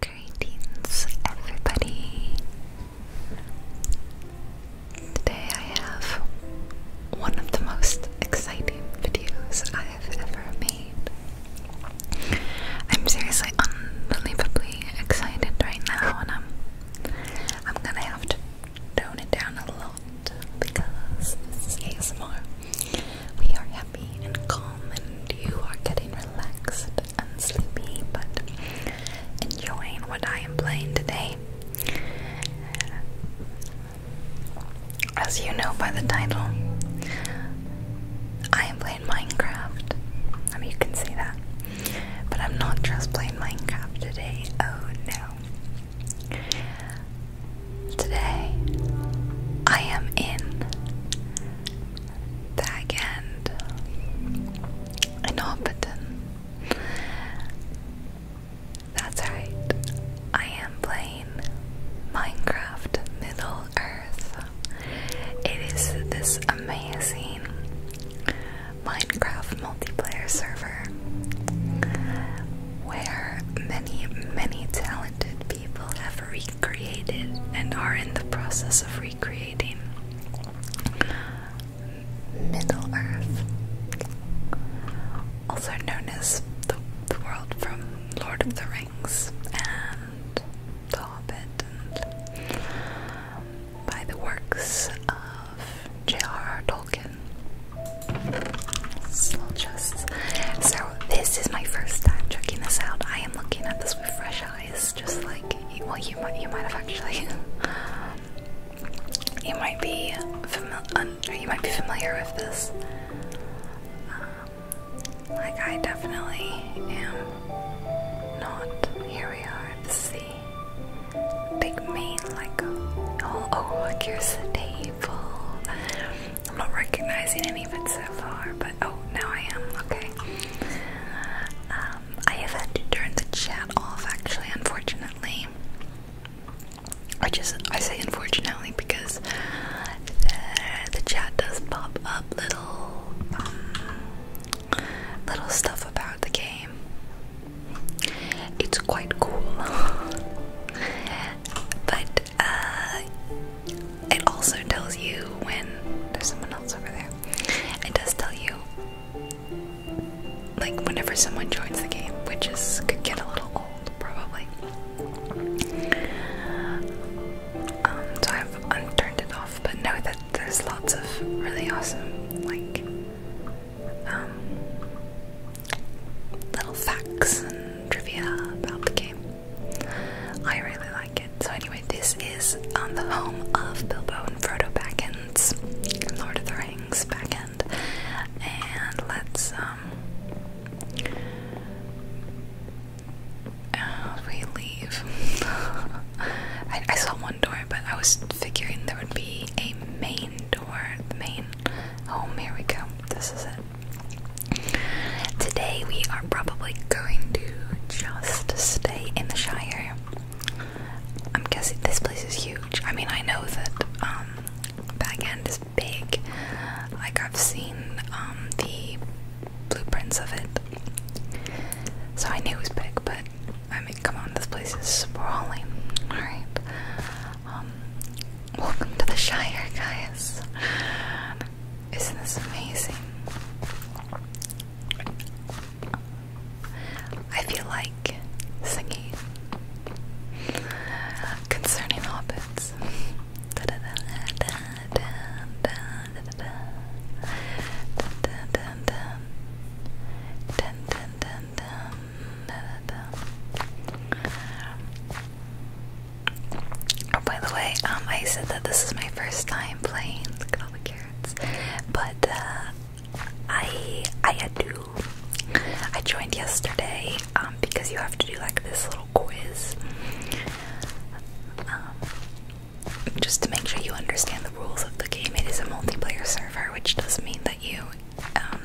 Greetings, everybody. Today I have one of the most exciting videos I have ever made. I'm seriously unbelievably excited right now, and I'm I'm gonna have to tone it down a lot because this is ASMR. We are happy and calm, and you are getting relaxed and sleepy, but enjoying what I am playing today. As you know by the title, I am playing Minecraft. I mean, you can see that. But I'm not just playing Minecraft today. Oh no. Today, I am in Tag end. I know, but then That's right, I am playing Minecraft Middle Earth. It is this amazing Minecraft multiplayer server where many, many talented people have recreated and are in the process of recreating Middle Earth, also known as the, world from Lord of the Rings and The Hobbit, by the works of J.R.R. Tolkien. So this is my first time checking this out. I am looking at this with fresh eyes apologize. Just like, well, you might, you might have actually. you might be familiar. You might be familiar with this. Um, like I definitely am not. Here we are. at the sea, big main. Like, oh, oh, look, here's the table. I'm not recognizing any of it so far, but oh, now I am. Okay. Um, I have had to turn the chat off, actually, unfortunately. I just I say unfortunately because uh, the, chat does pop up little um, little stuff about the game. It's quite cool, but uh, it also tells you when there's someone else over there. It does tell you like whenever someone joins the game, which is could get a little old probably. Um, so I've unturned it off, but know that there's lots of really awesome like um, little facts and trivia about the game. I really like it. So anyway, this is on um, the home of Bilbo and Frodo backends, Lord of the Rings backend, and let's um, uh, we leave. I saw one door, but I was figuring there would be a main door, the main home. Here we go. This is it. Today we are probably going to just stay in the Shire. I'm guessing this place is huge. I mean, I know that um, back end is big. Like I've seen um, the blueprints of it, so I knew it was big. But I mean, come on, this place is sprawling. All right. Um, welcome to the Shire, guys. Isn't this amazing? I feel like singing concerning hobbits. Oh, by the way, um, I said that this is my first time playing. Look at all the carrots. But uh, I I had I joined yesterday um, because you have to do like this little quiz, um, just to make sure you understand the rules of the game. It is a multiplayer server, which does mean that you, um,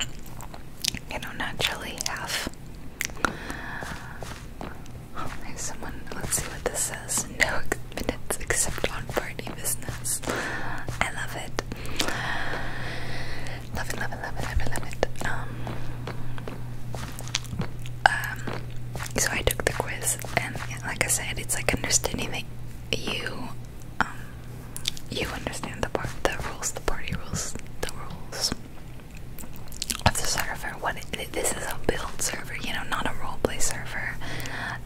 you know, naturally have. Alright, someone, let's see what this says. No minutes except on party business. I love it. Love it, love it, love it, love it, Um, um, so I took the quiz, and like I said, it's like understanding that you, um, you understand the part, the rules, the party rules, the rules of the server. What this is a build server, you know, not a roleplay server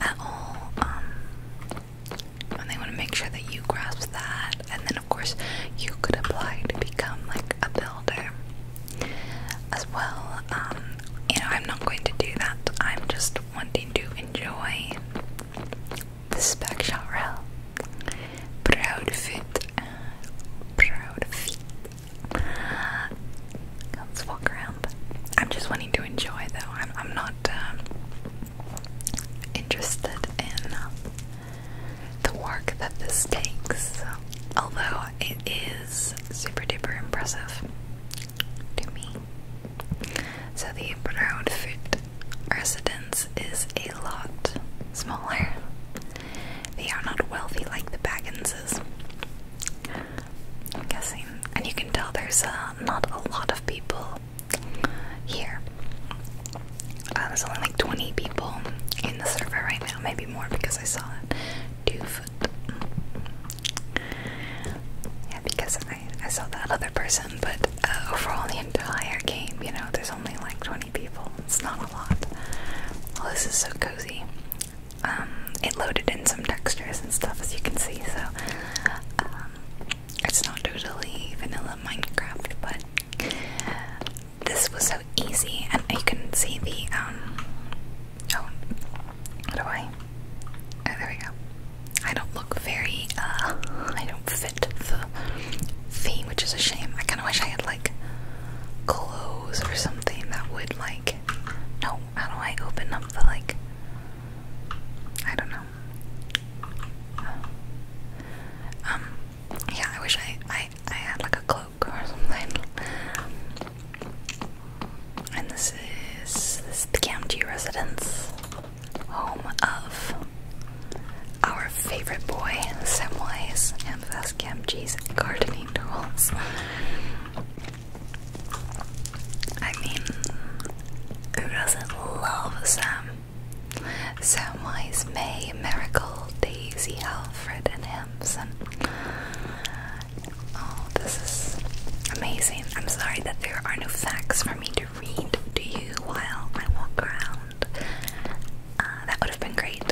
at all. Um, and they want to make sure that you grasp that, and then of course you could apply to become like a builder as well. Um, you know, I'm not going to do that. I'm just wanting to enjoy the spec shot realm. Proud fit, proud feet. Let's walk around. I'm just wanting to enjoy, though. I'm, not um, interested in uh, the work that this takes, although it is super duper impressive to me. So, the Brownfoot residence is a lot smaller they are not wealthy like the Bagginses. I'm guessing. And you can tell there's uh, not a lot of people here. Uh, there's only like 20 people in the server right now, maybe more because I saw Two foot. Yeah, because I, I saw that other person, but uh, overall, the entire game, you know, there's only like 20 people. It's not a lot. Well, this is so cozy. Um, it loaded in some textures and stuff as you can see, so um, it's not totally vanilla Minecraft, but this was so easy, and you can see the um. Oh, what do I? Oh, there we go. I don't look very. uh, I don't fit the theme, which is a shame. I kind of wish I had like clothes or something that would like no, how do I open up the like I don't know. Um yeah, I wish I I I had like a cloak or something. And this is this is the county residence. Home of our favorite boy, Samwise and ask gardening tools. I mean, who doesn't love Sam? Samwise, May, Miracle, Daisy, Alfred, and Hampson. Oh, this is amazing. I'm sorry that there are no facts for me to read to you while I walk around. Uh, that would have been great.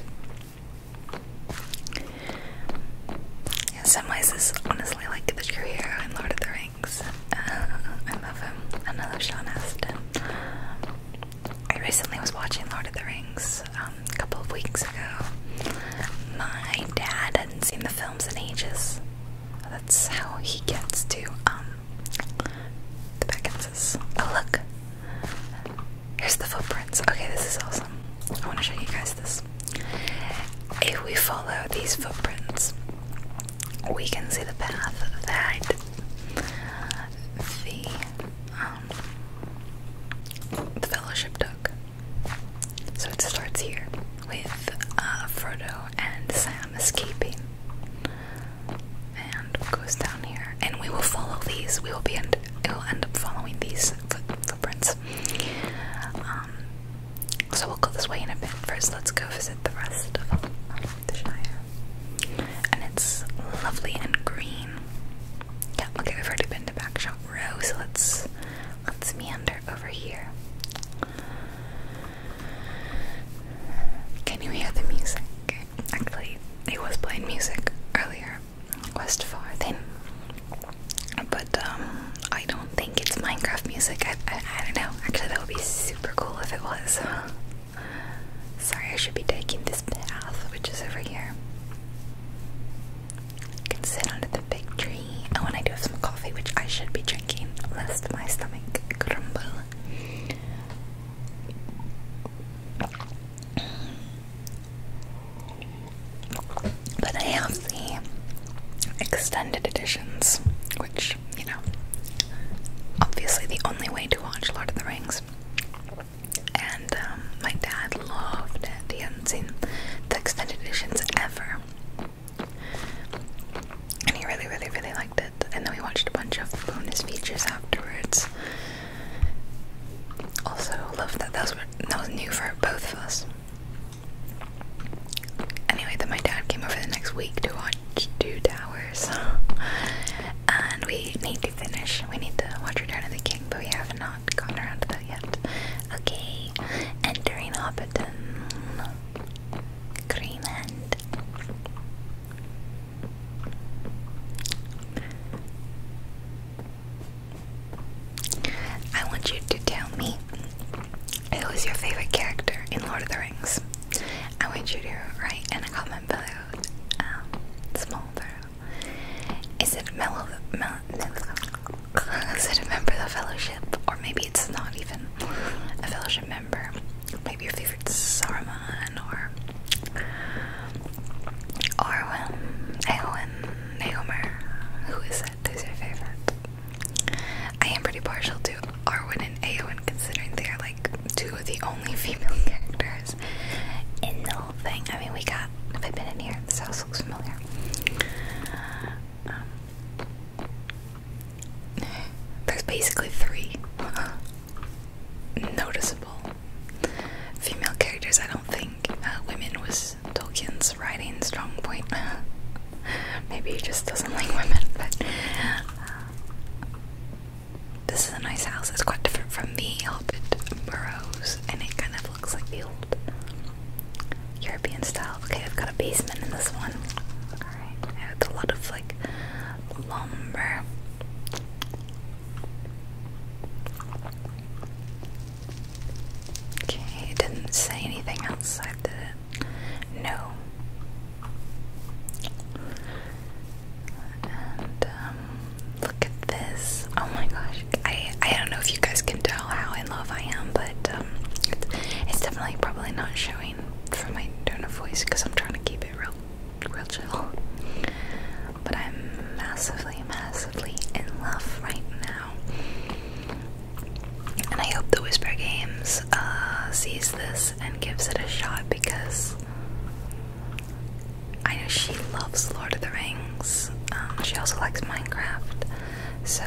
In some ways, this is honestly like the true hero in Lord of the Rings. Uh, I love him. I love Sean Astin. I recently was watching Lord of the Rings um, a couple of weeks ago. My dad hadn't seen the films in ages. That's how he gets to um, the Beckinses. Oh, look! Here's the footprints. Okay, this is awesome. I want to show you guys this. If we follow these footprints, we can see the path that the um, the fellowship took. So it starts here with uh, Frodo and Sam escaping, and goes down here. And we will follow these. We will be end. It will end up following these footprints um, so we'll go this way in a bit. First, let's go visit the rest of the Shire. And it's lovely and green. Yeah, okay, we've already been to Backshot Row, so let's let's meander over here. Can you hear the music? Actually, it was playing music earlier, Quest 4 then. But um, I don't think it's Minecraft music. I, I, don't know. Actually, that would be super cool if it was. Sorry, I should be taking this path, which is over here. I can sit under the big tree. Oh, and when I do have some coffee, which I should be drinking, lest my stomach crumble. But I have the extended editions, which, you know, obviously the only way to watch Lord of the Rings. And um, my dad loved it. He hadn't seen the extended editions ever. And he really, really, really liked it. And then we watched a bunch of bonus features afterwards. Also love that that was, new for both of us. Anyway, that my dad came over the next week to watch Two Towers. and we need to finish. We need to watch Return of the King, but we have not gone around to that yet. Okay, entering Hobbiton. Greenland. I want you to tell me who is your favorite character in Lord of the Rings. I want you to write in a comment below. Um, small below. Is it mellow? is it a member of the Fellowship, or maybe it's not even a Fellowship member? Maybe your favorite is Saruman or Arwen, Eowyn. Naomer, who is that? Who's your favorite? I am pretty partial to Arwen and Aowen considering they are like two of the only female characters in the whole thing. I mean, we got, if I've been in here, this house looks familiar. Um, there's basically three noticeable female characters. I don't think uh, women was Tolkien's writing strong point. Maybe he just doesn't like women, but uh, this is a nice house. It's quite different from the Hobbit burrows, and it kind of looks like the old European style. Okay, I've got a basement in this one. it's a lot of like lumber. Okay, it didn't say anything outside, did No. Um, look at this. Oh my gosh. I, I don't know if you guys can tell how in love I am, but um, it's, it's definitely probably not showing from my tone of voice because I'm trying to keep it real, real chill but I'm massively, massively in love right now. And I hope the Whisper Games uh, sees this and gives it a shot because I know she loves Lord of the Rings. Um, she also likes Minecraft, so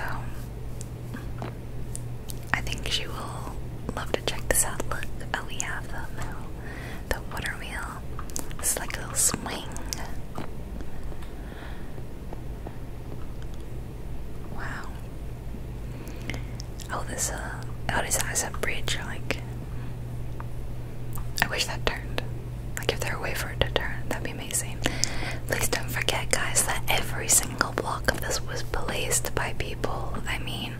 I think she will love to check this out. Look, oh, we have the the water wheel. It's like a little swing. Wow. Oh, this uh, oh, this has bridge. Like, I wish that turned. Like, if there were a way for it to turn, that'd be amazing. Please don't forget, guys, that every single block of this was placed by people. I mean,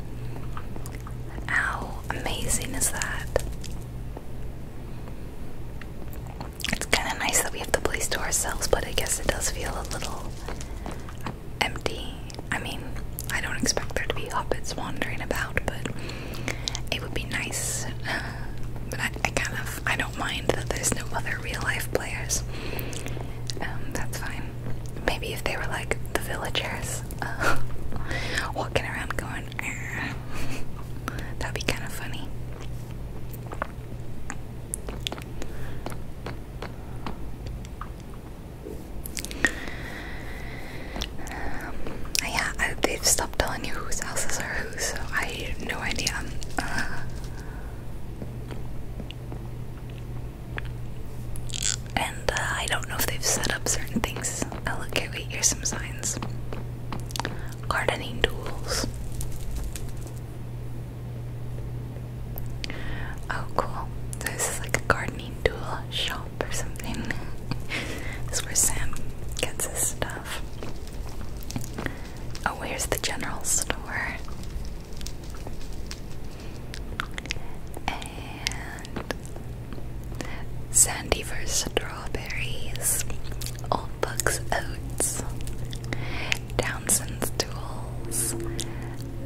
how amazing is that? It's kind of nice that we have the place to ourselves, but I guess it does feel a little empty. I mean, I don't expect there to be hobbits wandering about, but it would be nice. Uh, but I, kind of I don't mind that there's no other real life players. Um, that's fine. Maybe if they were like the villagers uh, walking around going, That'd be kind of funny. Um, yeah, they've stopped telling you whose houses are whose, so I have no idea. Uh, and uh, I don't know if they've set up certain things. Oh, look, okay, wait, here's some signs gardening tools. Oh, cool. this is like a gardening tool shop or something. this is where Sam gets his stuff. Oh, where's the general store. And Sandy first strawberries, Old Buck's oats, Townsend's tools,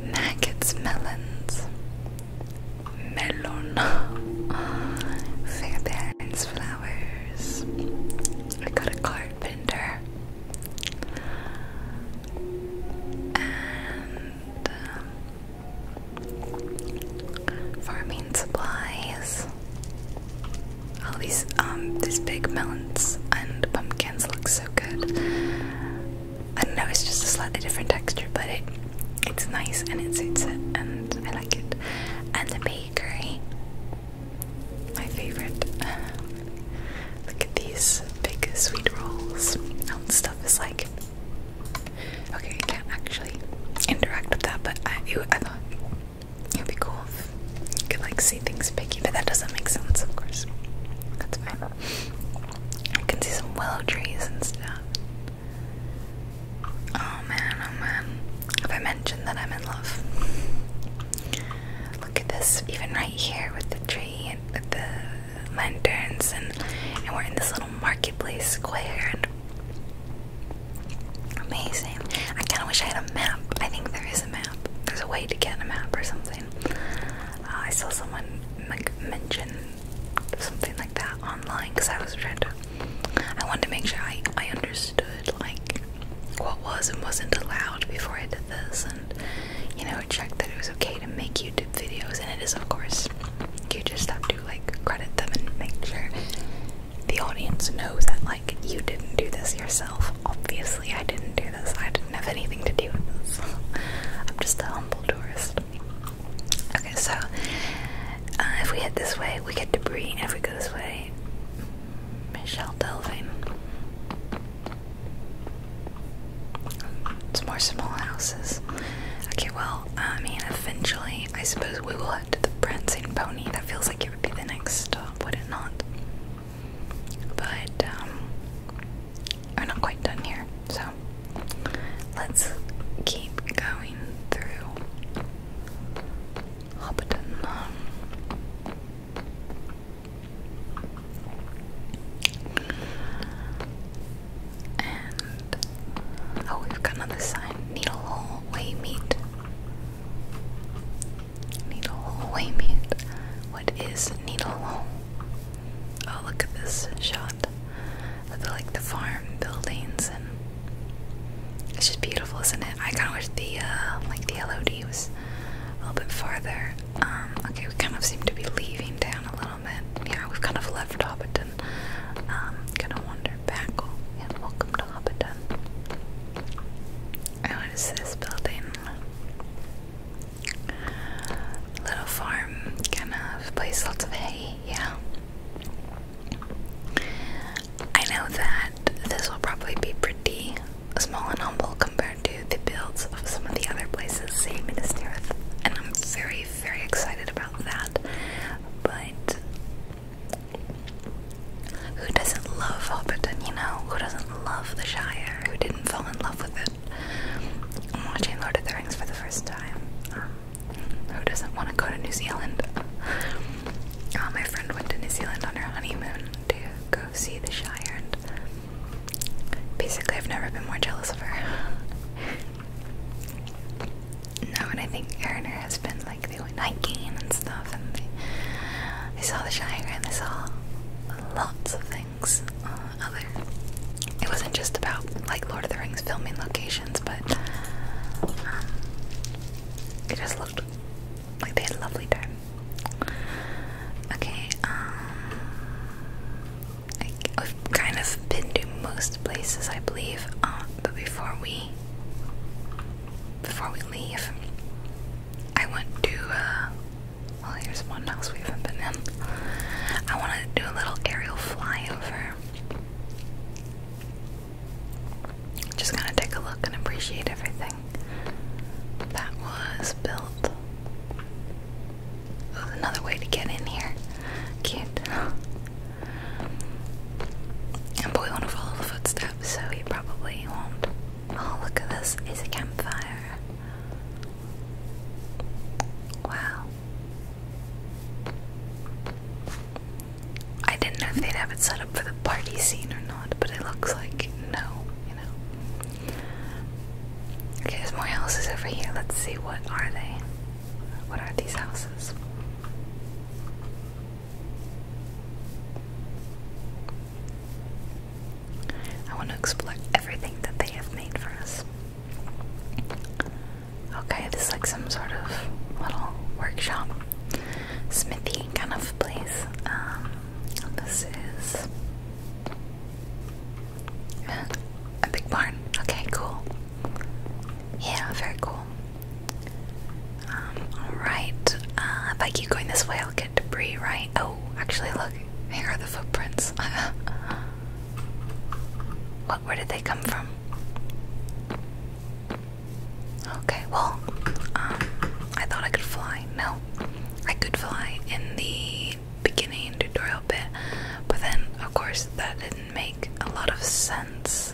Maggot's melons, melon, Fairbairn's flowers. I got a carpenter. And um, farming supplies, all these um these big melons and pumpkins look so good. I know, it's just a slightly different texture, but it it's nice and it suits it and I like it. And the bakery. My favorite. Look at these big sweet rolls. All the stuff is like okay, I can't actually interact with that, but I, I thought it would be cool if you could like see things picky, but that doesn't make sense, of course. That's fine. I can see some willow trees and stuff. Oh man, oh man. Have I mentioned that I'm in love? Look at this, even right here with the tree and the lanterns, and, and we're in this little marketplace square, Amazing. I kind of wish I had a map. I think there is a map. There's a way to get a map or something. Uh, I saw someone like mention something like that online because I was trying to. I wanted to make sure I I understood like what was and wasn't allowed before I did this, and you know check that it was okay to make YouTube videos, and it is of course. You just have to like credit them and make sure the audience knows that like you didn't do this yourself. Obviously, I didn't do this. I didn't have anything to do with this. I'm just a humble tourist. Okay, so uh, if we head this way, we get debris. If we go this way, Michelle Delvin. It's more small houses. Okay, well, I mean, eventually, I suppose we will but the prancing pony, that feels like it would be the next stop, would it not? But, um, we're not quite done here, so let's keep going through Hobbiton. oh, we've got another sign. Needle hole, way meat. Needle hole, wait What is needle Oh, look at this shot the, like the farm buildings, and it's just beautiful, isn't it? I kind of wish the uh, like the LOD was a little bit farther. Um, okay, we kind of seem to be leaving town a little bit. Yeah, we've kind of left Hobbiton. Um, kind of wandering Alexander Backel, and welcome to Hobbiton. Oh, what is this building? Little farm, kind of place, lots of hay, yeah. I know that this will probably be pretty small and humble compared to the builds of some of the other places, say Minas Tirith, and I'm very, very excited about that. But who doesn't love Hobbiton, you know? Who doesn't love the Shire? Who didn't fall in love with it? I'm watching Lord of the Rings for the first time. Um, who doesn't want to go to New Zealand? Uh, my friend went to New Zealand on her honeymoon to go see the Shire, and basically, I've never been more jealous of her. No, and I think Erin, her husband, like they went hiking and stuff and they, saw the Shire and they saw lots of things uh, other it wasn't just about like Lord of the Rings filming locations but um, it just looked like they had a lovely time okay um have kind of been to most places I believe uh, but before we before we leave, I want to, uh, well, here's one house we haven't been in. I want to do a little aerial flyover. Just kind of take a look and appreciate everything that was built. Oh, another way to get in here. Cute. And boy wanna follow the footsteps, so he probably won't. Oh look at this, it's a campfire. Wow. I didn't know if they'd have it set up for the party scene or not, but it looks like no, you know. Okay, there's more houses over here. Let's see what are they. What are these houses? I want to explore everything that they have made for us. Okay, this is like some sort of little workshop, smithy kind of place. Um, this is a big barn. Okay, cool. Yeah, very cool. Um, alright. Uh, if I keep going this way, I'll get debris, right? Oh, actually, look. Here are the footprints. what? Where did they come from? Okay, well, um, I thought I could fly. No, I could fly in the beginning tutorial bit, but then, of course, that didn't make a lot of sense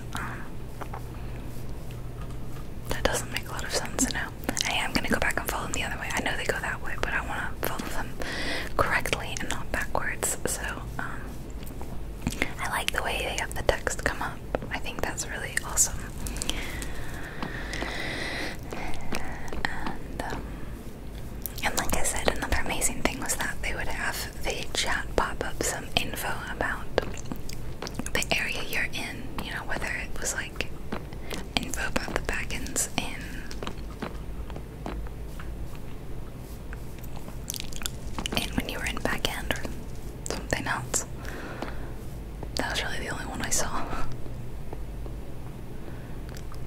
that doesn't make a lot of sense now. Hey, I'm gonna go back and follow them the other way. I know they go that way, but I want to follow them correctly and not backwards. So um, I like the way they have the text come up. I think that's really awesome. And, um, like I said, another amazing thing was that they would have the chat pop up. So info about the area you're in, you know, whether it was like info about the backends in and when you were in back end or something else. That was really the only one I saw.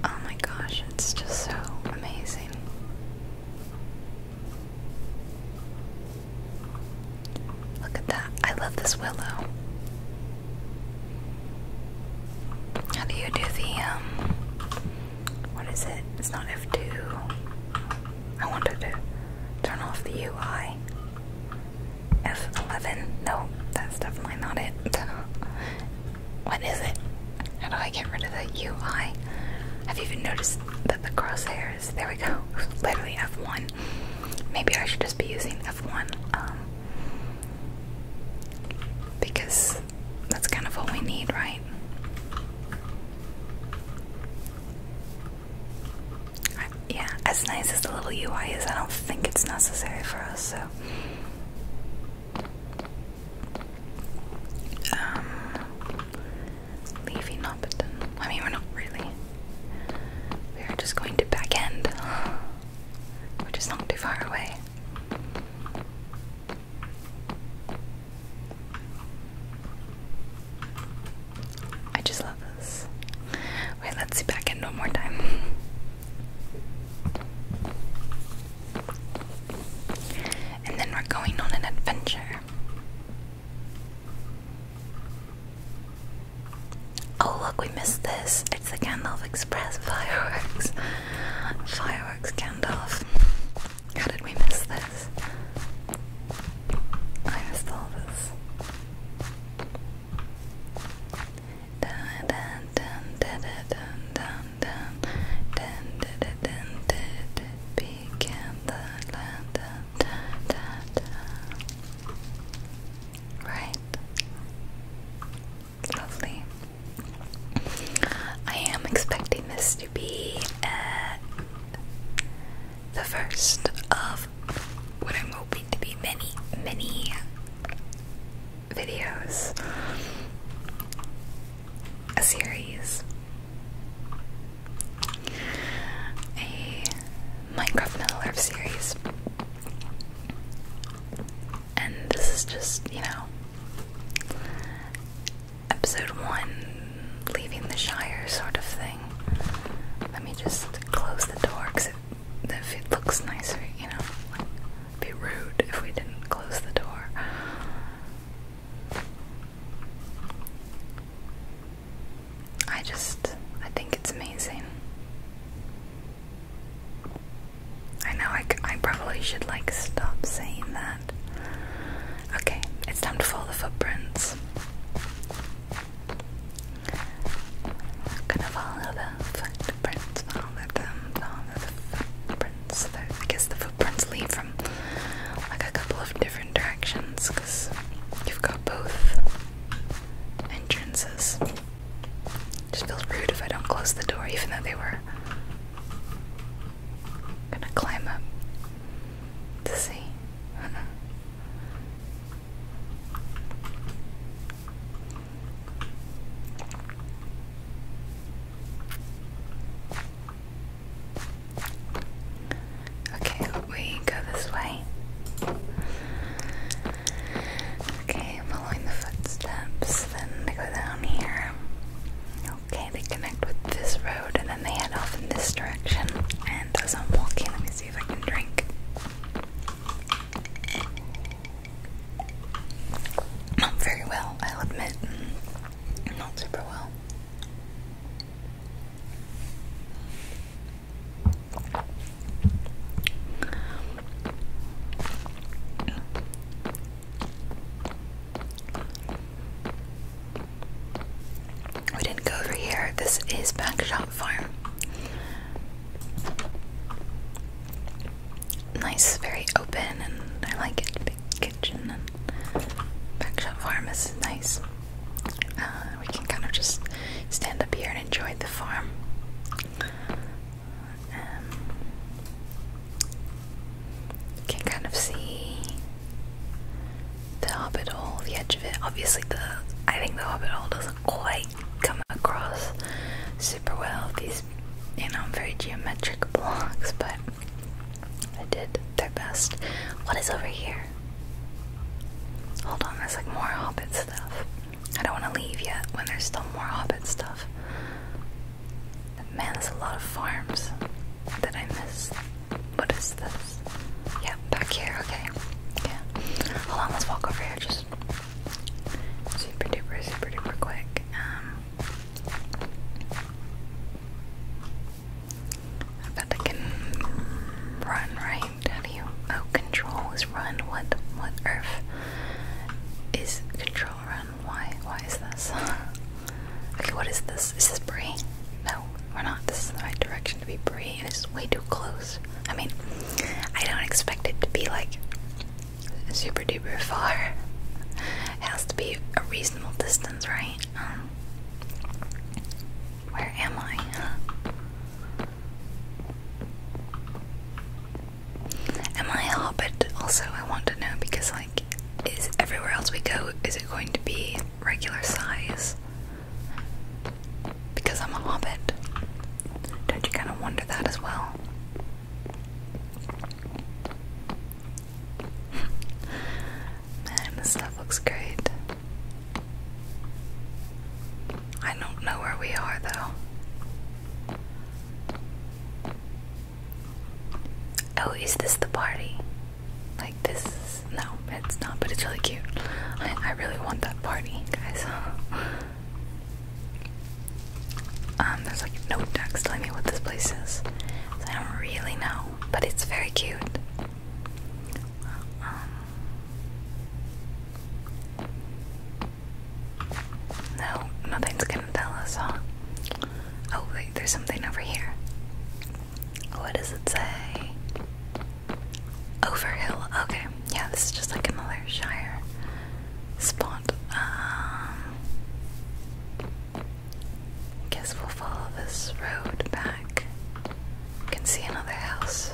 Oh my gosh, it's just so amazing. Look at that. I love this willow. How do you do the, um, what is it? It's not F2. I wanted to turn off the UI. F11. No, that's definitely not it. what is it? How do I get rid of the UI? I've even noticed that the crosshair there we go. Literally F1. Maybe I should just be using F1 um, because that's kind of what we need, right? yeah, as nice as the little UI is, I don't think it's necessary for us, so. Um, leaving Upton. I mean, we're not really. We are just going to back end, which is not too far away. I just love this. Wait, let's see back end one more time. And then we're going on an adventure. Oh, look, we missed this. It's the Gandalf Express fireworks. Fireworks Gandalf. How did we miss this? I missed all this. Dun, dun, dun, dun, dun, dun, dun, dun, dun, dun, dun, dun, dun, dun, Right. Lovely. I am expecting this to be the first of what I'm hoping to be many, many videos. A series a Minecraft Middle Earth series. And this is just, you know, episode one, leaving the Shire sort of thing. Let me just close the door because if it looks nicer, you know, like, be rude if we didn't close the door. I just, I think it's amazing. I know I, I probably should like stop saying that. Okay, it's time to follow the footprints. gonna follow the footprints, follow them, follow the footprints. I guess the footprints lead from like a couple of different directions because you've got both entrances. Just feels rude if I don't close the door, even though they were gonna climb up to see. Okay, we go this way. Okay, following the footsteps, then they go down here. Okay, they connect with this road and then they head off in this direction. And as I'm walking, let me see if I can drink. Not very well, i admit. Not super well. We didn't go over here. This is Backshop Farm. Nice, very open, and I like it. Big kitchen and Backshot Farm is nice. Uh, we can kind of just stand up here and enjoy the farm. you um, can kind of see the Hobbit Hole, the edge of it. Obviously, the I think the Hobbit Hole doesn't quite come across super well. These, you know, very geometric blocks, but I did their best. What is over here? Hold on, there's like more Hobbit stuff. I don't want to leave yet when there's still more Hobbit stuff. But man, there's a lot of farms that I missed. What is this? Yeah, back here, okay. Yeah. Hold on, let's walk over here just super duper, super duper quick. Um I bet I can run, right? How do you? Oh, control is run. What? What earth is control run? Why? Why is this? okay, what is this? Is this Brie? No, we're not. This is the right direction to be Bree, and it's way too close. I mean, I don't expect it to be like super duper far. It has to be a reasonable distance, right? Um, where am I? Am I a hobbit? Also, I want to know because, like, is everywhere else we go, is it going to be regular size? Because I'm a hobbit. Don't you kind of wonder that as well? Man, this stuff looks great. I don't know where we are though. Oh, is this the party? Like this no, it's not, but it's really cute. I, really want that party, guys. um, there's like no text telling me what this place is. I don't really know, but it's very cute. Um, no, nothing's gonna tell us, Oh, wait, there's something over here. What does it say? Over Overhill. Okay, yeah, this is just like another Shire spot. Um, guess we'll follow this road back can see another house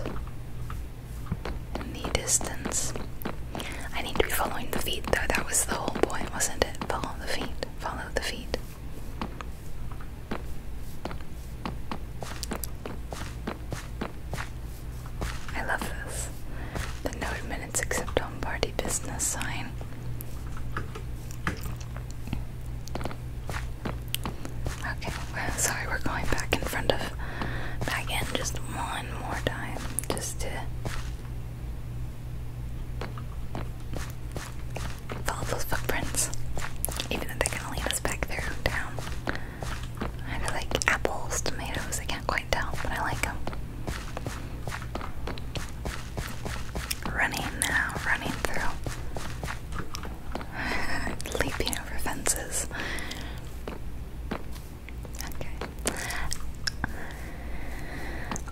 in the distance. I need to be following the feet, though. That was the whole point, wasn't it? Follow the feet. Follow the feet. I love this. The no admittance except on party business sign. Okay, sorry, we're going back in front of back in just one more time just to follow those footprints. Even if they're gonna lead us back there down. I like apples, tomatoes, I can't quite tell, but I like them. Running now, running through. Leaping over fences. Okay.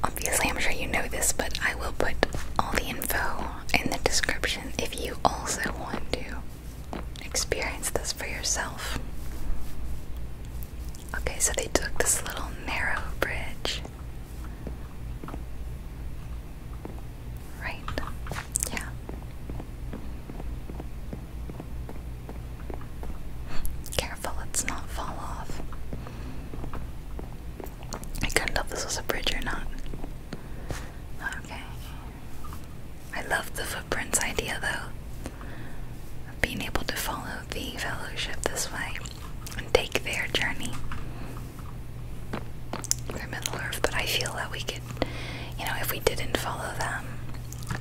Obviously, I'm sure you know this, but I will put all the info in the description if you also want to experience this for yourself. Okay, so they took this little narrow bridge. Right. Yeah. Careful, let not fall off. I couldn't tell this was a bridge or not. Okay. I love the footprints idea though. Of being able to follow the fellowship this way and take their journey middle earth, but I feel that we could, you know, if we didn't follow them,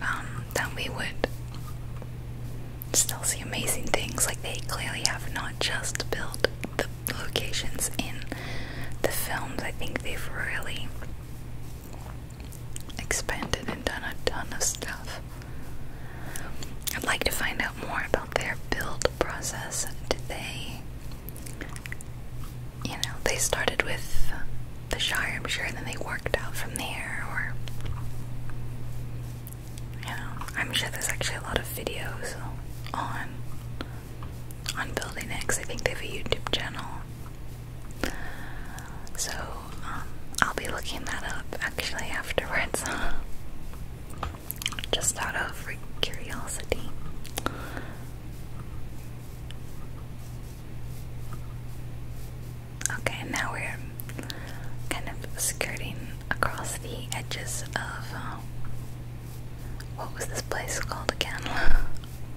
um, then we would still see amazing things. Like they clearly have not just built the locations in the films. I think they've really expanded and done a ton of stuff. I'd like to find out more about their build process. Did they you know, they started with the Shire, I'm sure, and then they worked out from there, or you know, I'm sure there's actually a lot of videos on on building it, cause I think they have a YouTube channel. So um, I'll be looking that up actually afterwards. just out of curiosity. Okay, now we're kind of skirting across the edges of uh, what was this place called again?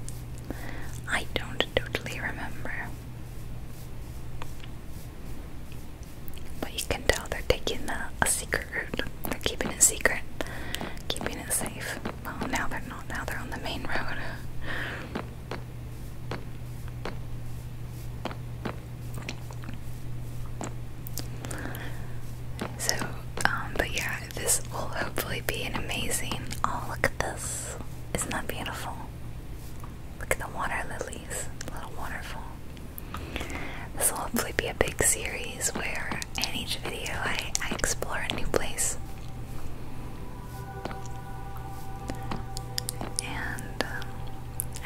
I don't totally remember. But you can tell they're taking a, secret They're keeping it secret. Keeping it well, now they're not. Now they're on the main road. So, um, but yeah, this will hopefully be an amazing. Oh, look at this! Isn't that beautiful? Look at the water lilies, little waterfall. This will hopefully be a big series where in each video I, explore a new place. And, um,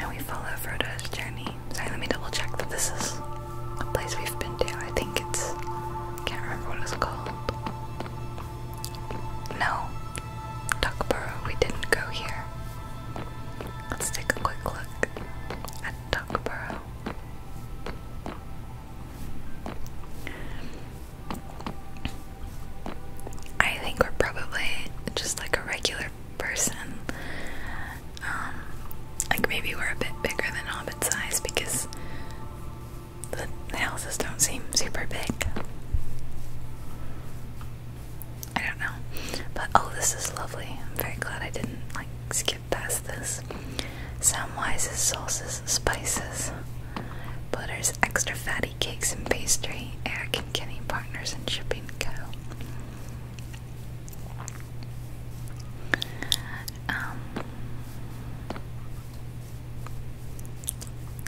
and we follow Frodo's journey. Sorry, let me double check that this is a place we've been to. I think it's. can't remember what it's called. No. Duckborough, we didn't go here. Let's take a quick look at Duckborough. I think we're probably just like a regular person. Um, like maybe we're a bit bigger than hobbit size because the houses don't seem super big. I don't know. But oh, this is lovely. I'm very glad I didn't like skip that's this. Some wises, sauces, spices, butters, extra fatty cakes and pastry, Eric and Kenny Partners and Shipping Co. Um,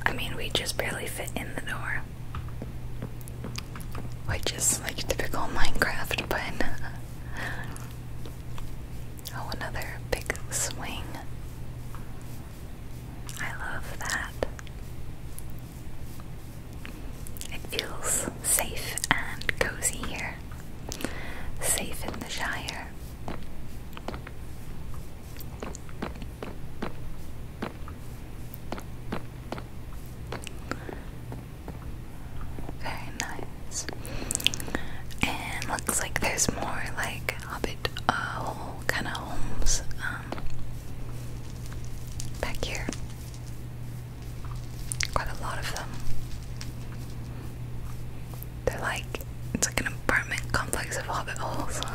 I mean, we just barely fit in the door. Which just like typical Minecraft, but Oh, another big swing. I love that. It feels safe and cozy here. Safe in the Shire. Very nice. And looks like there's more like hobbit uh, kind of homes um, back here. Quite a lot of them. They're like it's like an apartment complex of hobbit holes.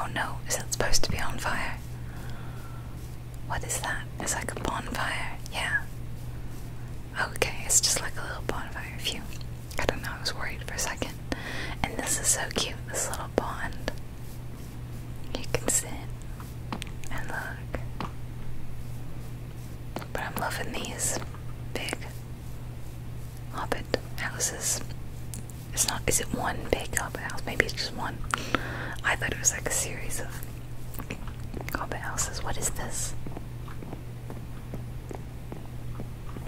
Oh no, is that supposed to be on fire? What is that? It's like a bonfire, yeah. Okay, it's just like a little bonfire view. I don't know, I was worried for a second. And this is so cute, this little pond. You can sit and look. But I'm loving these big hobbit houses. It's not, is it one big hobbit house? Maybe it's just one. I thought it was like a series of Corbett else's. What is this?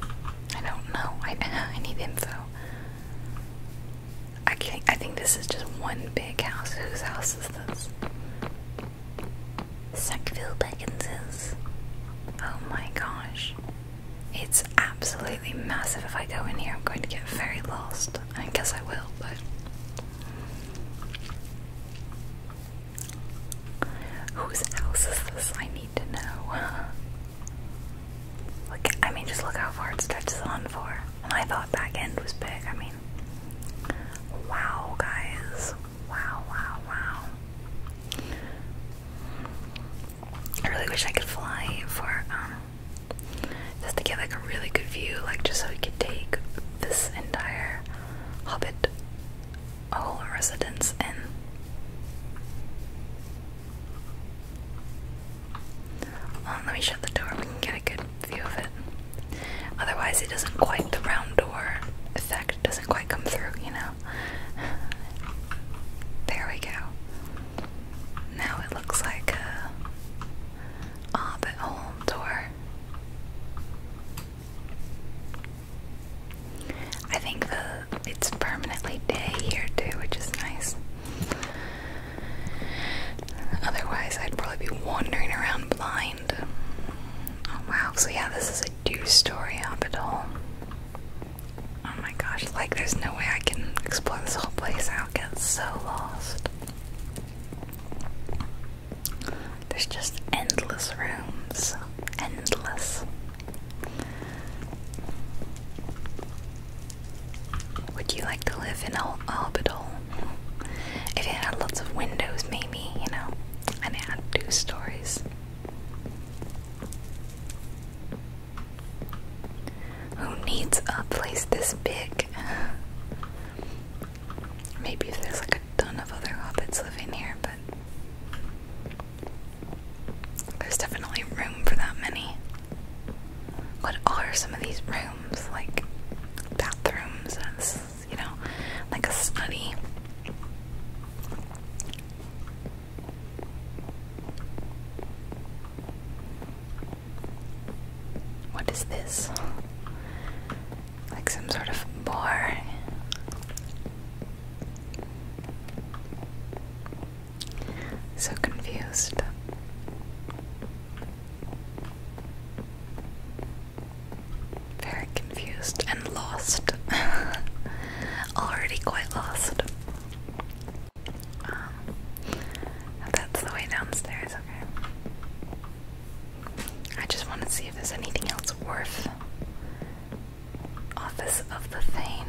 I don't know. I I need info. I can I think this is just one big house. Whose house is this? Sackville Beckins's. Oh my gosh. It's absolutely massive. If I go in here, I'm going to get very lost. I guess I will, but Whose house is this? I need to know. Look, I mean, just look how far it stretches on for. I thought back end was big. I mean, wow, guys. Wow, wow, wow. I really wish I could fly for, um, just to get like a really good view, like just so we could take this entire hobbit a whole residence in. let me shut the door, we can get a good view of it. Otherwise, it doesn't quite, the round door effect doesn't quite come through, you know? There we go. Now it looks like a hobbit hole door. I think the it's permanently day here too, which is nice. Otherwise, I'd probably be wandering around blind. Oh wow! So yeah, this is a do story hobbit hole. Oh my gosh! Like, there's no way I can explore this whole place. I'll get so lost. There's just endless rooms. Endless. Would you like to live in a orbital? If it had lots of windows, maybe, you know, and it had two stories. Who needs a place this big? Maybe there's like a ton of other hobbits living here, but there's definitely room for that many. What are some of these rooms? Like bathrooms, as, you know, like a study. What is this? like some sort of bar. So confused. Very confused and lost. Already quite lost. Um, that's the way downstairs, okay. I just want to see if there's anything else worth. Office of the Thane.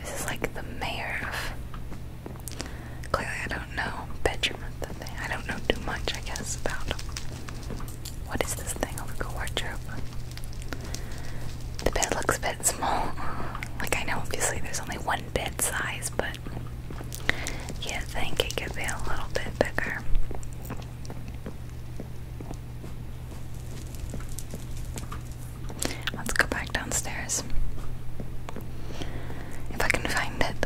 This is like the mayor of. Clearly, I don't know. Bedroom of the thing. I don't know too much, I guess, about. What is this thing? over the go wardrobe. The bed looks a bit small. Like, I know obviously there's only one bed size, but but you think it could be a little bit bigger. Let's go back downstairs. If I can find it.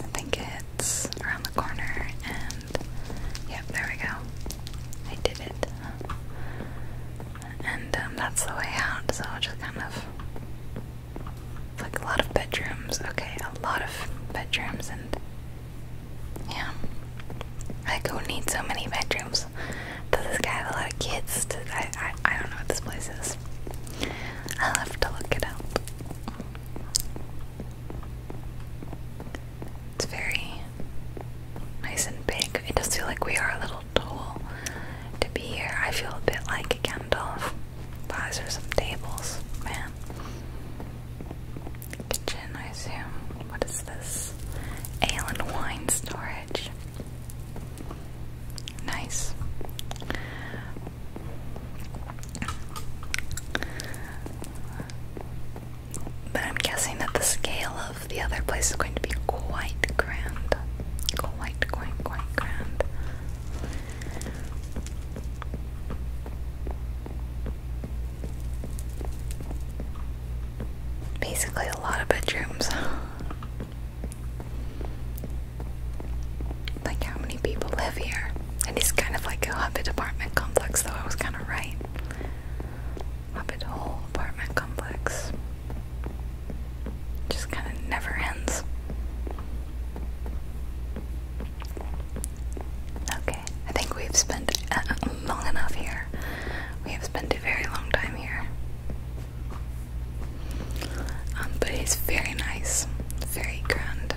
I think it's around the corner and yep, there we go. I did it and um, that's the way out. So I'll just kind of like a lot of bedrooms. Okay, a lot of bedrooms, and yeah, like who need so many bedrooms? Does this guy have a lot of kids? I, I I don't know what this place is. I'll have to look it up. It's very nice and big. It does feel like we are a little tool to be here. I feel a bit like a Gandalf. Buys her some tables, man. Kitchen, I assume. What is this? Ale and wine storage. Nice. But I'm guessing that the scale of the other place is going to be quite grand quite, quite, grand. Basically, a lot of bedrooms. like, how many people live here? And it's kind of like a hobbit apartment complex, though I was kind of right. Hobbit Hole apartment complex. Just kind of never ends. Okay, I think we've spent uh, long enough here. We have spent a very long time here. Um, but it's very nice, very grand.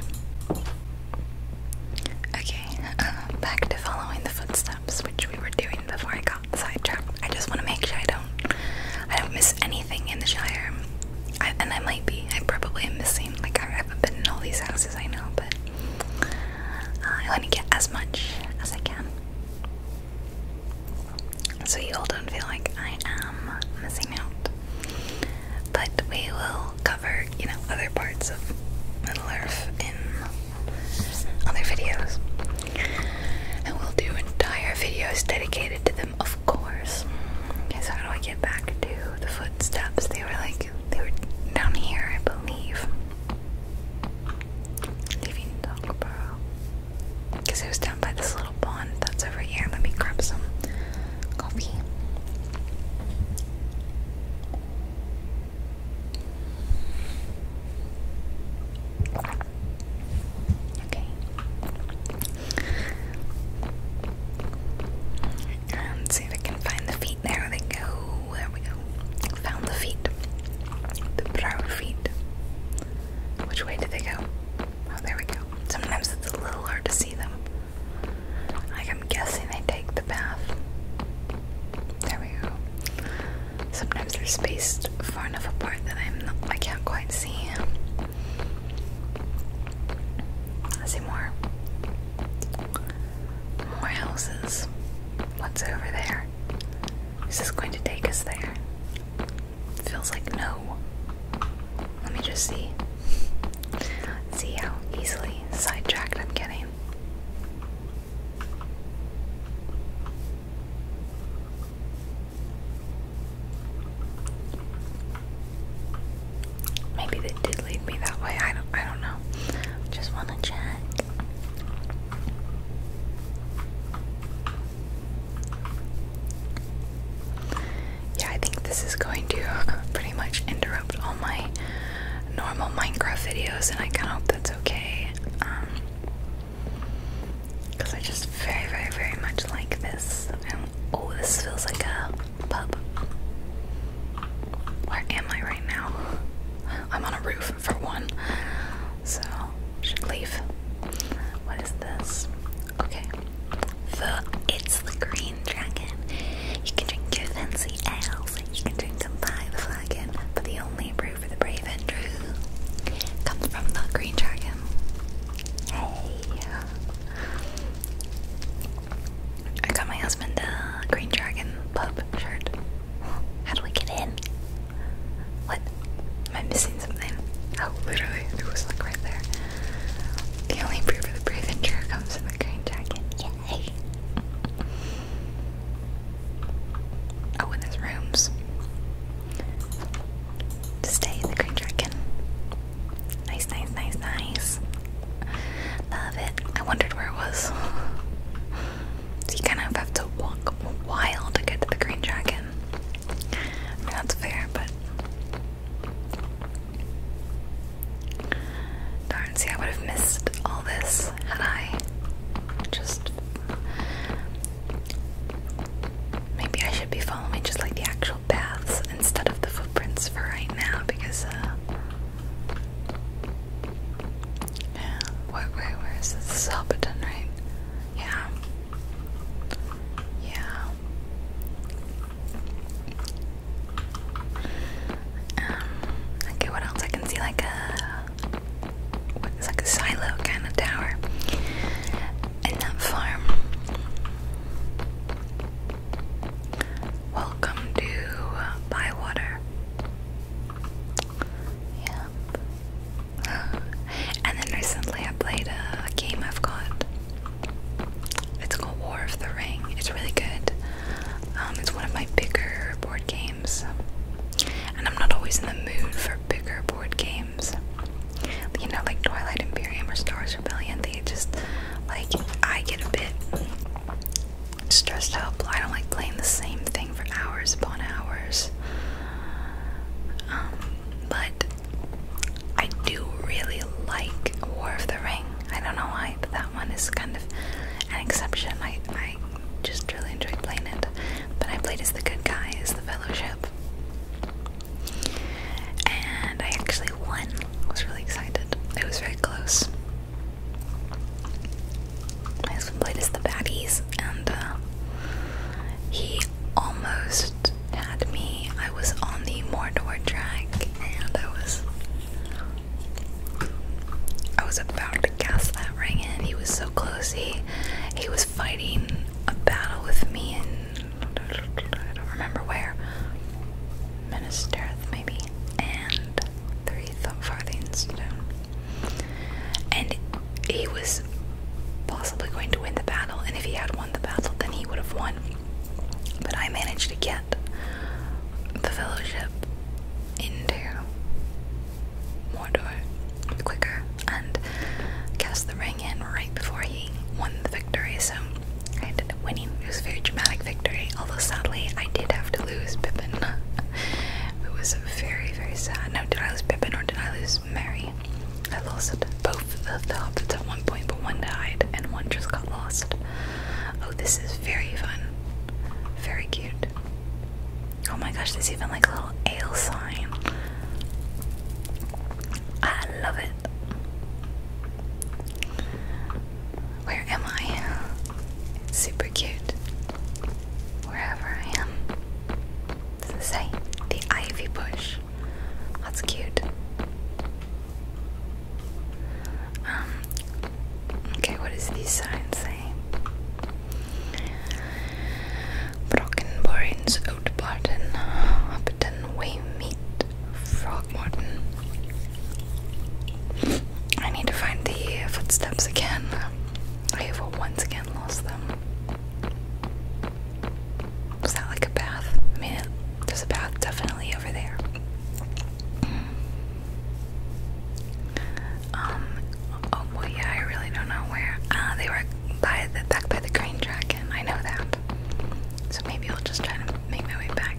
Okay, uh, back to following the footsteps, which we were doing before I got got sidetracked. I just want to make sure I don't, I don't miss anything in the Shire. I, and I might be. I probably am missing. Like I haven't been in all these houses. I know, but uh, I want to get as much as I can. So you all don't feel like I am missing out. But we will cover, you know, other parts of Middle Earth in other videos. And we will do entire videos dedicated to them, of course. Okay, so how do I get back to the footsteps? They were like, they were down here, I believe. Leaving Dockleboro. Because it was down by this little pond that's over here. Let me grab some coffee. Okay. Um, see if I can find the feet. There they go. There we go. Found the feet. The proud feet. Which way did they go? Oh, there we go. Sometimes it's a little hard to see them. Like, I'm guessing they take the path. There we go. Sometimes they're spaced far enough apart that I'm not, I can't quite see. see more. More houses. What's over there? Is this going to take us there? Feels like no. Let me just see. See how easily sidetracked I'm getting. Maybe they did lead me that way. I don't I don't know. Just wanna check. Yeah, I think this is going to pretty much interrupt all my normal Minecraft videos, and I kind of hope that's okay. Um, because I just very, very, very much like this. oh, this feels like a pub. Where am I right now? I'm on a roof, for one. So, should leave. What is this? Okay. The, it's the green dragon. You can drink your fancy ales. You can drink them by the flagon. But the only brew for the brave and true comes from the green dragon. Hey. I got my husband a Green Dragon pub shirt. How do we get in? What? Am I missing something? Oh, literally, it was like right there. The only proof of the brave endure comes in the Green Dragon. Yay! Oh, and there's rooms. Stay the green dragon. Nice, nice, nice, nice. Love it. I wondered where it was. you kind of have to walk a while to get to the green dragon. that's fair, but. Darn, see, I would have missed all this had I just Maybe I should be following just like the actual paths instead of the footprints for right now because, uh. Yeah, where, where, where is this? This is Hobbiton, right? Yeah. Yeah. Um, okay, what else? I can see like a it's like a silo kind of tower. And that farm. Welcome to uh, Bywater. Yep. and then recently I played a game I've got. It's called War of the Ring. It's really good. Um, it's one of my bigger board games. And I'm not always in the mood for bigger board games. You know, like Twilight Imperium or Star Rebellion, they just, like, I get a bit stressed out. I don't like playing the same thing for hours upon hours. Um, but I do really like War of the Ring. I don't know why, but that one is kind of an exception. I, I just really enjoy playing it. But I played as the good guy, as the Fellowship. And I actually won. I was really excited. It was very close. My husband played as the baddies, and uh, he almost had me. I was on the Mordor track, and I was. I was about to cast that ring in. He was so close. He, he was fighting a battle with me in I don't remember where. Ministereth maybe. And three farthings And he was possibly going to win the battle, and if he had won the battle then he would have won. But I managed to get the fellowship into Mordor quicker and cast the ring in right before he won the victory. So I ended up winning. It was a very dramatic victory, although sadly I did have to lose Pippin. it was very, very sad. No, did I lose Pippin or did I lose Mary? I lost both of the hobbits at one point, but one died and one just got lost. Oh, this is very fun. Very cute. Oh my gosh, there's even like a little ale sign. I love it. Where am I? super cute. Wherever I am. Does it say? The ivy bush. That's cute. Um okay, what does these signs say? Brockenbourne's Oatbarton, Upton, Waymeet, Frogmorton. I need to find the footsteps again. I have once again lost them. Was that like a bath? I mean, there's a bath definitely over there. Um, oh boy, yeah, I really don't know where. Ah, they were by the back by the green track, I know that. So maybe I'll just try to make my way back.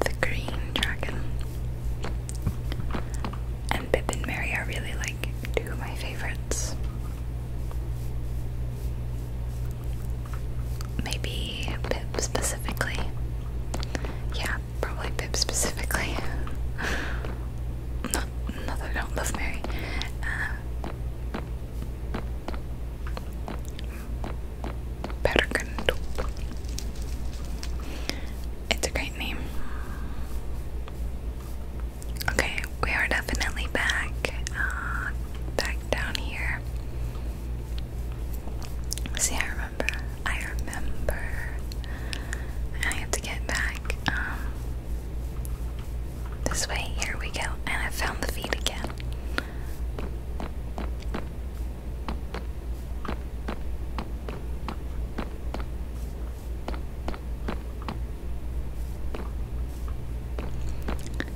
The green dragon. And Pip and Mary are really like two of my favorites. Maybe Pip specifically. Yeah, probably Pip specifically. not, not that I don't love Mary. Uh, It's a great name. Okay, we are definitely back, uh, back down here. See, I remember. I remember. I have to get back. Um, this way, here we go, and I found the feet again.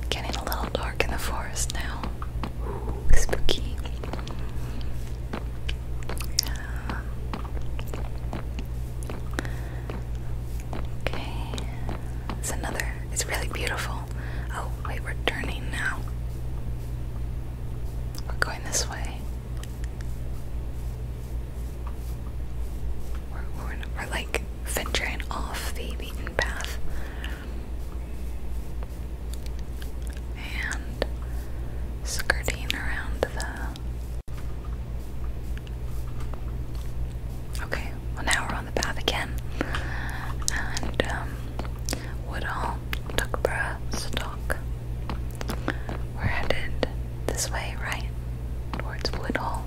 Getting a little dark in the forest now. spooky. Uh, Okay. It's another. It's really beautiful. Oh, wait, we're turning now. We're going this way. We're, we're, we're like venturing off the beaten path. And skirting around the Okay, well now we're on the path again. And um Woodall, Stock. We're headed this way, right? Towards Woodall.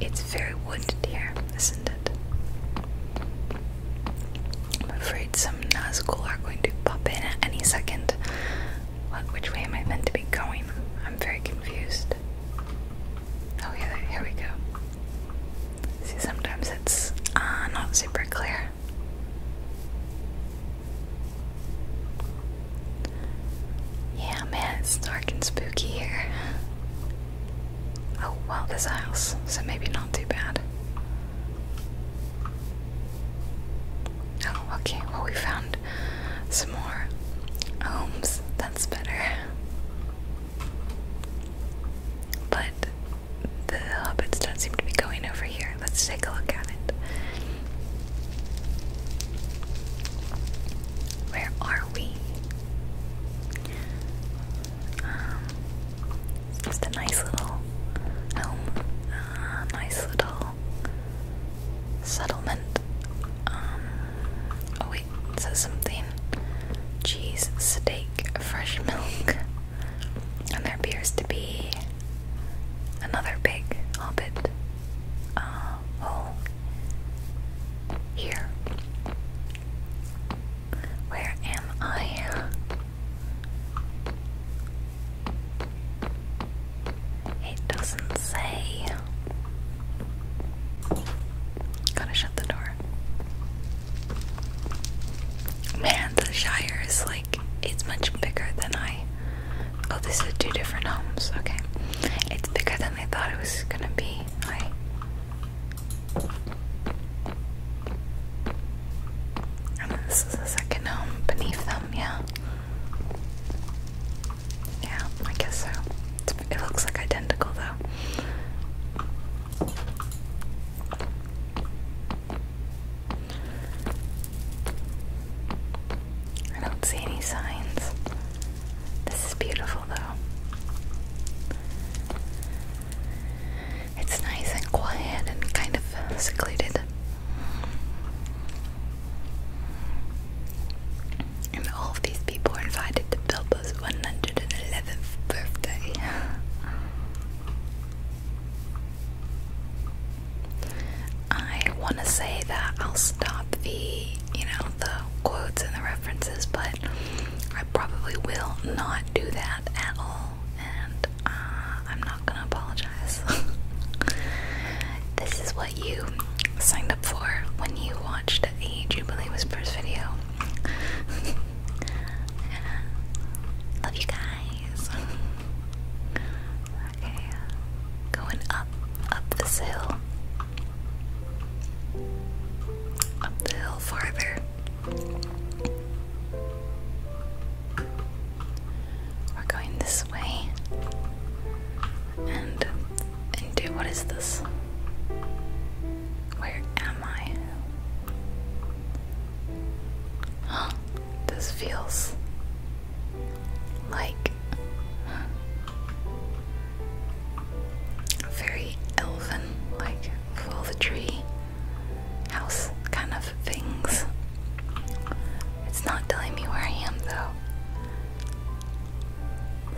It's very wooded here, isn't it? I'm afraid some Nazgul are going to pop in at any second. What, which way am I meant to be going? I'm very confused. Oh, yeah, here we go. See, sometimes it's uh, not super clear. Yeah, man, it's dark and spooky here. Oh, well, this house, so maybe not too bad. Oh, okay. Well, we found some more homes. That's better. But the hobbits don't seem to be going over here. Let's take a look at it. Where are we? Um, just a nice little home. Ah, nice little Settlement. Um, oh, wait, says something. Cheese, steak, fresh milk. And there appears to be another big hobbit uh, here. Where am I? It doesn't say. Gotta shut the door. Man, the Shire is like, it's much bigger than I. Oh, this is two different homes. Okay. It's bigger than I thought it was gonna be. I. this is the second home beneath them, yeah. Yeah, I guess so. it looks like identical though. I don't see any signs. This is beautiful though. It's nice and quiet and kind of secluded. And all these people invited to Bilbo's 111th birthday. I want to say that I'll stop the, you know, the quotes and the references, but I probably will not do that at all. And uh, I'm not gonna apologize. this is what you signed up for when you watched the Jubilee Whispers video. Love you guys. Okay, going up, up this hill. Up the hill farther. We're going this way. And into what is this? Where am I? Oh, this feels like very elven, like full the tree house kind of things. It's not telling me where I am though.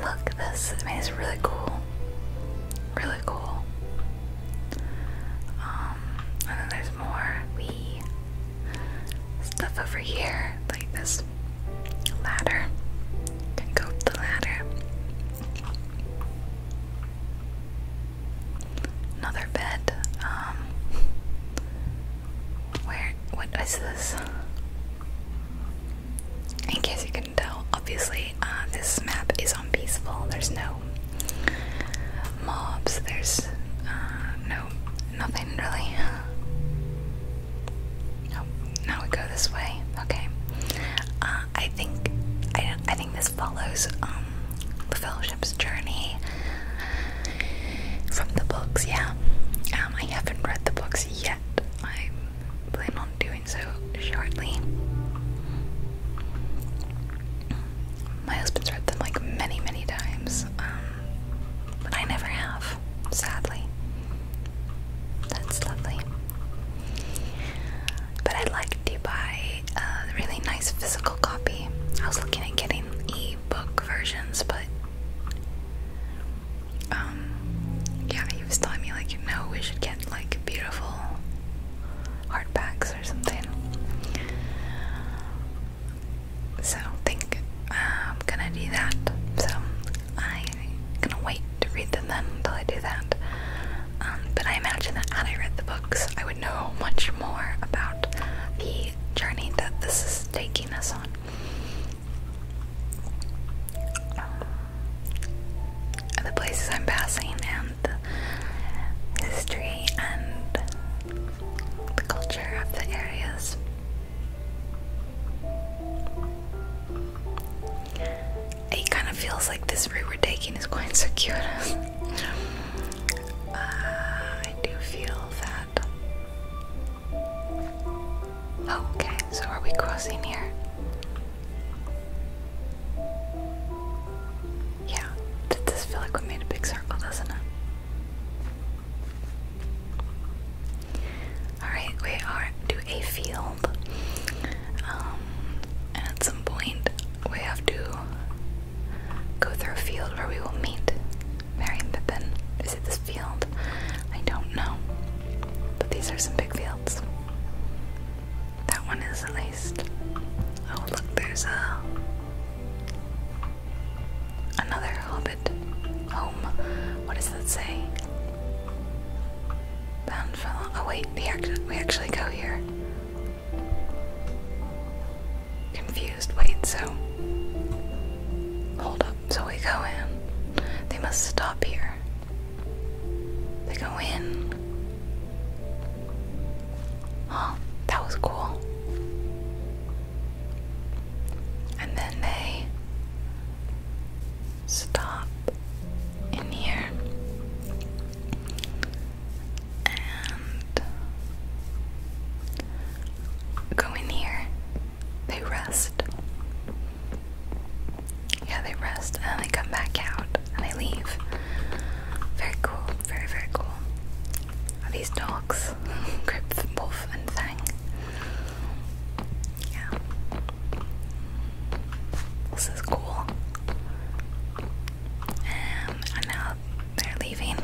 Look, this is really cool. Really cool. Um, and then there's more wee stuff over here, like this ladder. go up the ladder. Another bed. Um, where? What is this? In case you can tell, obviously uh, this map is on peaceful. There's no mobs. There's uh, no nothing really. Oh, now we go this way. Okay. Uh, I think I, think this follows um, the fellowship's journey from the books, yeah. Um, I haven't read the books yet. I plan on doing so shortly. My husband's read them like many, many times, um, but I never have, sadly. That's lovely. But I'd like to buy a really nice physical copy. I was looking at getting a book versions, but um, yeah, he was telling me like, no, we should get like beautiful hardbacks or something. So I'm gonna do that. So I'm gonna wait to read them then until I do that. Um, but I imagine that had I read the books, I would know much more about the journey that this is taking us on. Uh, the places I'm passing and the history and the culture of the areas. It kind of feels like this route we're taking is going to cure us. I do feel that okay, so are we crossing here? Yeah, did this feel like we made a big circle, doesn't it? Alright, we are to a field. Um, at some point, we have to Go through a field where we will meet. Merry and Pippin. Is it this field? I don't know. But these are some big fields. That one is at least. Oh look, there's a another hobbit home. What does that say? Bound for. Oh wait, we actually we actually go here confused. Wait, so. Hold up. So we go in. They must stop here. They go in. Huh, that was cool. And then they stop in here. And go in here. They rest. Yeah, they rest and they come back out and they leave. Very cool, very, very cool. these dogs? Grip, Wolf, and Fang. Yeah. This is cool. and now they're leaving.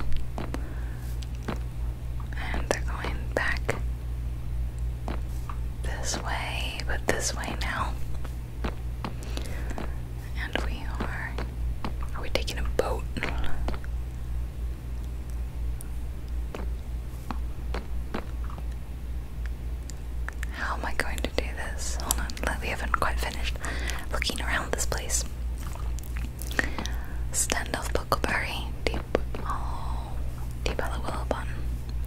And they're going back this way, but this way now. And we are. Are we taking a boat? How am I going to do this? Hold on, we haven't quite finished looking around this place. Standoff Buckleberry, Deep Oh Deep Hollow Willow Bun,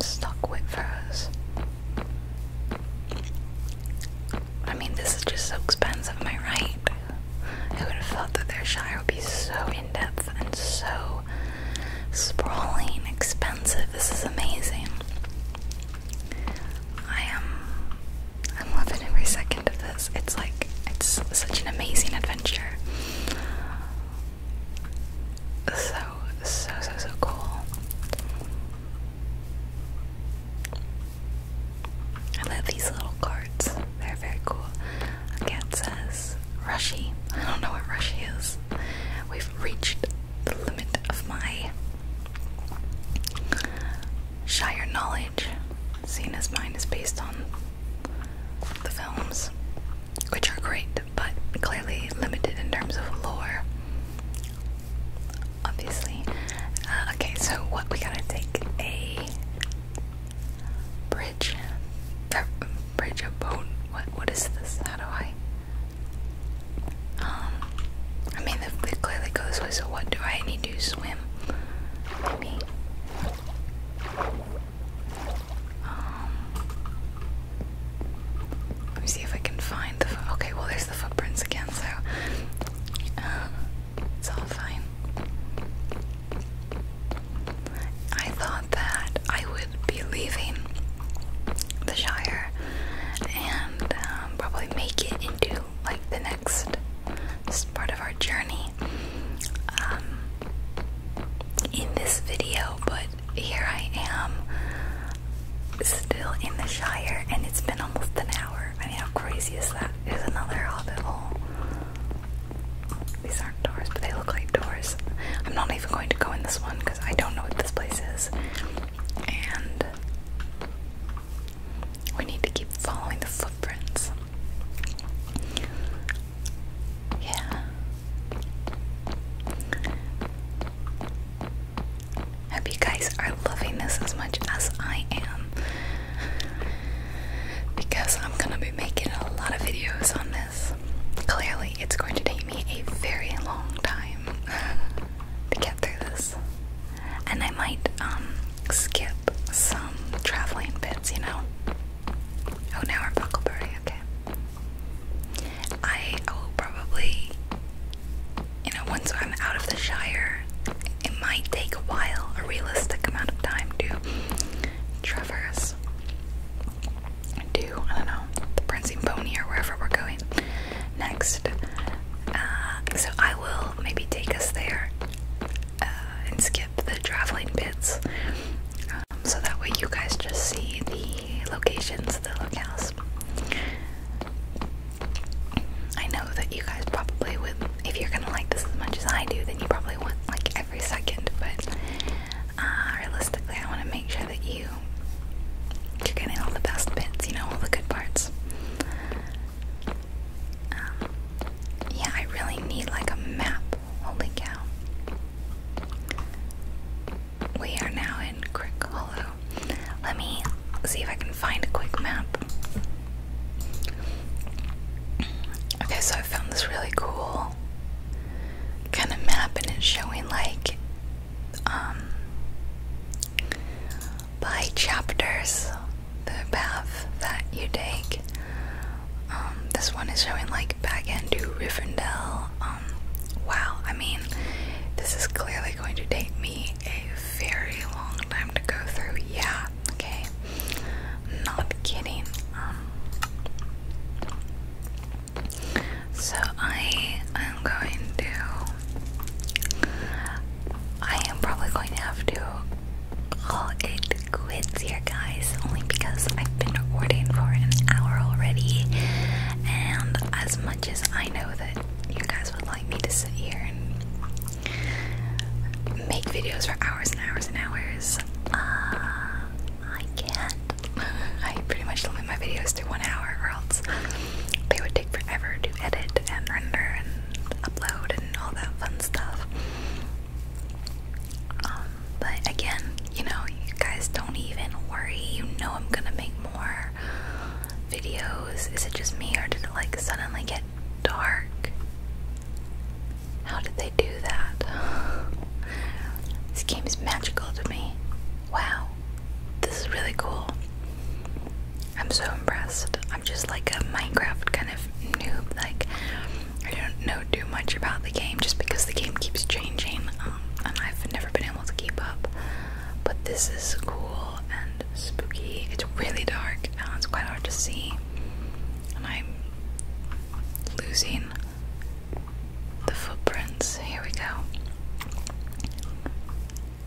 Stock Whip Furrows. I mean this is just so expensive, am I right? Who would have thought that their Shire would be so in-depth and so sprawling, expensive. This is amazing. I am I'm loving every second of this. It's like, it's such an amazing adventure. So, so, so, so cool. I love these little cards, they're very cool. Again, says Rushy. I don't know what Rushy is. We've reached the limit of my Shire knowledge, seeing as is based on the films, which are great, but clearly limited in terms of lore. Obviously. Uh, okay, so what we gotta take a bridge, bridge a boat. What what is this? How do I? Um, I mean, the, the clearly goes with. So what do I need to swim? Maybe um, let me see if I can find the. Okay, well, there's the footprints again, so uh, it's all fine. I thought that I would be leaving the Shire and um, probably make it into like the next part of our journey um, in this video, but here I am still in the Shire, and it's been almost an hour. I mean, how crazy is that? There's another hobbit hole. These aren't doors, but they look like doors. I'm not even going to go in this one because I don't know what this place is. And we need to keep following the footprints. Yeah. Hope you guys are loving this as much as I am. Because I'm gonna be making a lot of videos on this. Clearly, it's going to take me a very long time to get through this. And I might um, skip some traveling bits, you know? Oh, now we're Buckleberry, okay. I, I probably, you know, once I'm out of the Shire, it might take a while, a realistic amount of time to traverse to, I don't know, the Prancing Pony or wherever we're going next. Uh, so I will maybe take us there uh, and skip the traveling bits um, so that way you guys just see the locations, the locales. I know that you guys probably would, if you're gonna like this as much as I do, then you probably want like every second, but uh, realistically, I want to make sure that you. You're getting all the best bits, you know, all the good parts. Um, yeah, I really need like a map. Holy cow. We are now in Crick Hollow. Let me see if I can find a quick map. Okay, so I found this really cool kind of map, and it's showing like um by chapters the path that you take. Um, this one is showing like back end to Rivendell. Um, wow, I mean, this is clearly going to take me a very long time to go through. Yeah, okay, not kidding. Um, so I am going to. I am probably going to have to Oh, it quits here, guys, only because I've been recording for an hour already. And as much as I know that you guys would like me to sit here and make videos for hours and hours and hours, uh, I can't. I pretty much limit my videos to one hour, or else they would take forever to edit and render and upload and all that fun stuff. Um, but again, you know, you guys don't even worry. You know I'm gonna make more videos. Is it just me or did it like suddenly get dark? How did they do that? This game is magical to me. Wow. This is really cool. I'm so impressed. I'm just like a Minecraft kind of noob. Like I don't know too much about the game just because the game keeps changing, um, and I've never been able to keep up. But this is cool and spooky. It's really dark. and it's quite hard to see, and I'm losing the footprints. Here we go.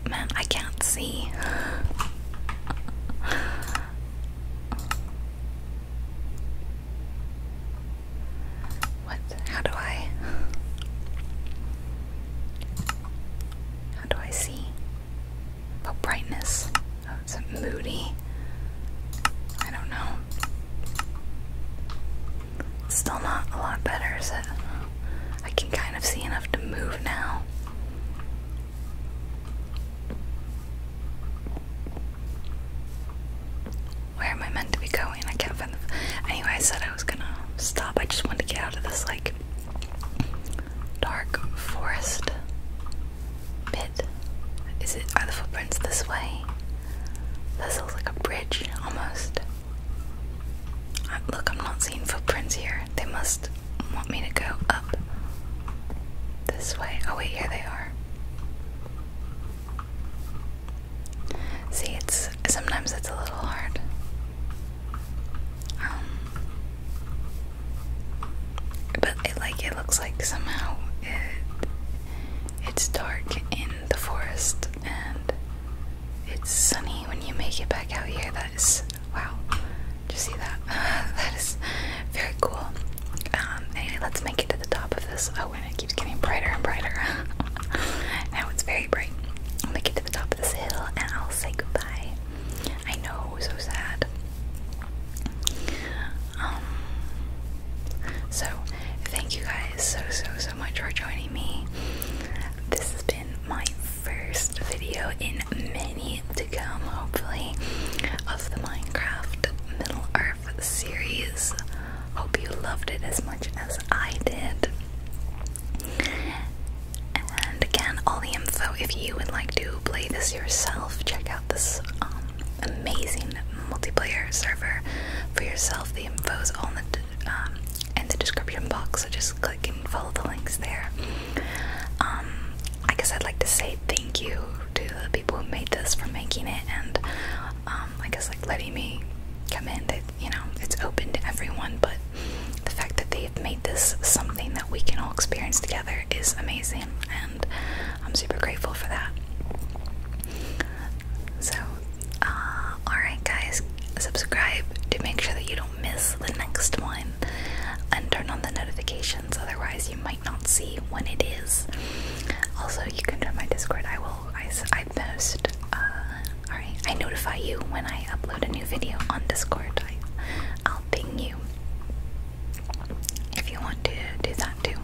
Man, I can't see. What? How do I? How do I see? Oh, brightness. Oh, is moody? I don't know. It's still not a lot better, is it? I can kind of see enough to move now. Where am I meant to be going? I can't find Anyway, I said I was gonna stop. I just wanted to get out of this, like, dark forest bit. Is it. Are the footprints this way? This looks like a bridge, almost. look, I'm not seeing footprints here. They must want me to go up this way. Oh, wait, here they are. See, it's sometimes it's a little hard. Um, but it like it looks like somehow it it's dark in the forest and it's sunny when you make it back out here. That is wow you see that? that is very cool. Um, let's make it to the top of this. Oh, and it keeps getting brighter and brighter. now it's very bright. I'll make to the top of this hill and I'll say goodbye. I know, so sad. Um, so, thank you guys so, so, so much for joining me. This has been my first video in many to come, hopefully, of the Minecraft Middle Earth series. Hope you loved it as much as I did. And again, all the info if you would like to play this yourself, check out this um, amazing multiplayer server for yourself. The info is all in the, um, in the description box, so just click and follow the links there. Um, I guess I'd like to say thank you to the people who made this for making it and um, I guess like letting me come in that you know it's open to everyone but the fact that they've made this something that we can all experience together is amazing and I'm super grateful for that so uh, alright guys subscribe to make sure that you don't miss the next one and turn on the notifications, otherwise you might not see when it is. Also, you can join my Discord. I will. I, I post. Uh, all right. I notify you when I upload a new video on Discord. I, I'll ping you if you want to do that too.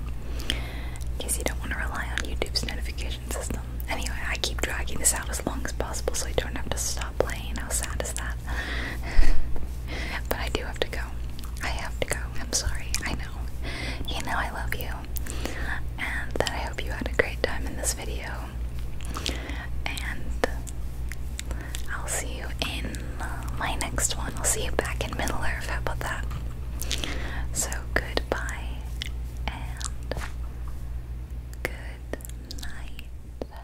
In case you don't want to rely on YouTube's notification system. Anyway, I keep dragging this out as long as possible so I don't have to stop playing. How sad is that? but I do have to go. I have to go. I'm sorry. I know. You know I love you. And I hope you had a great time in this video. And I'll see you in my next one. I'll see you back in Middle Earth. How about that? So goodbye and good night.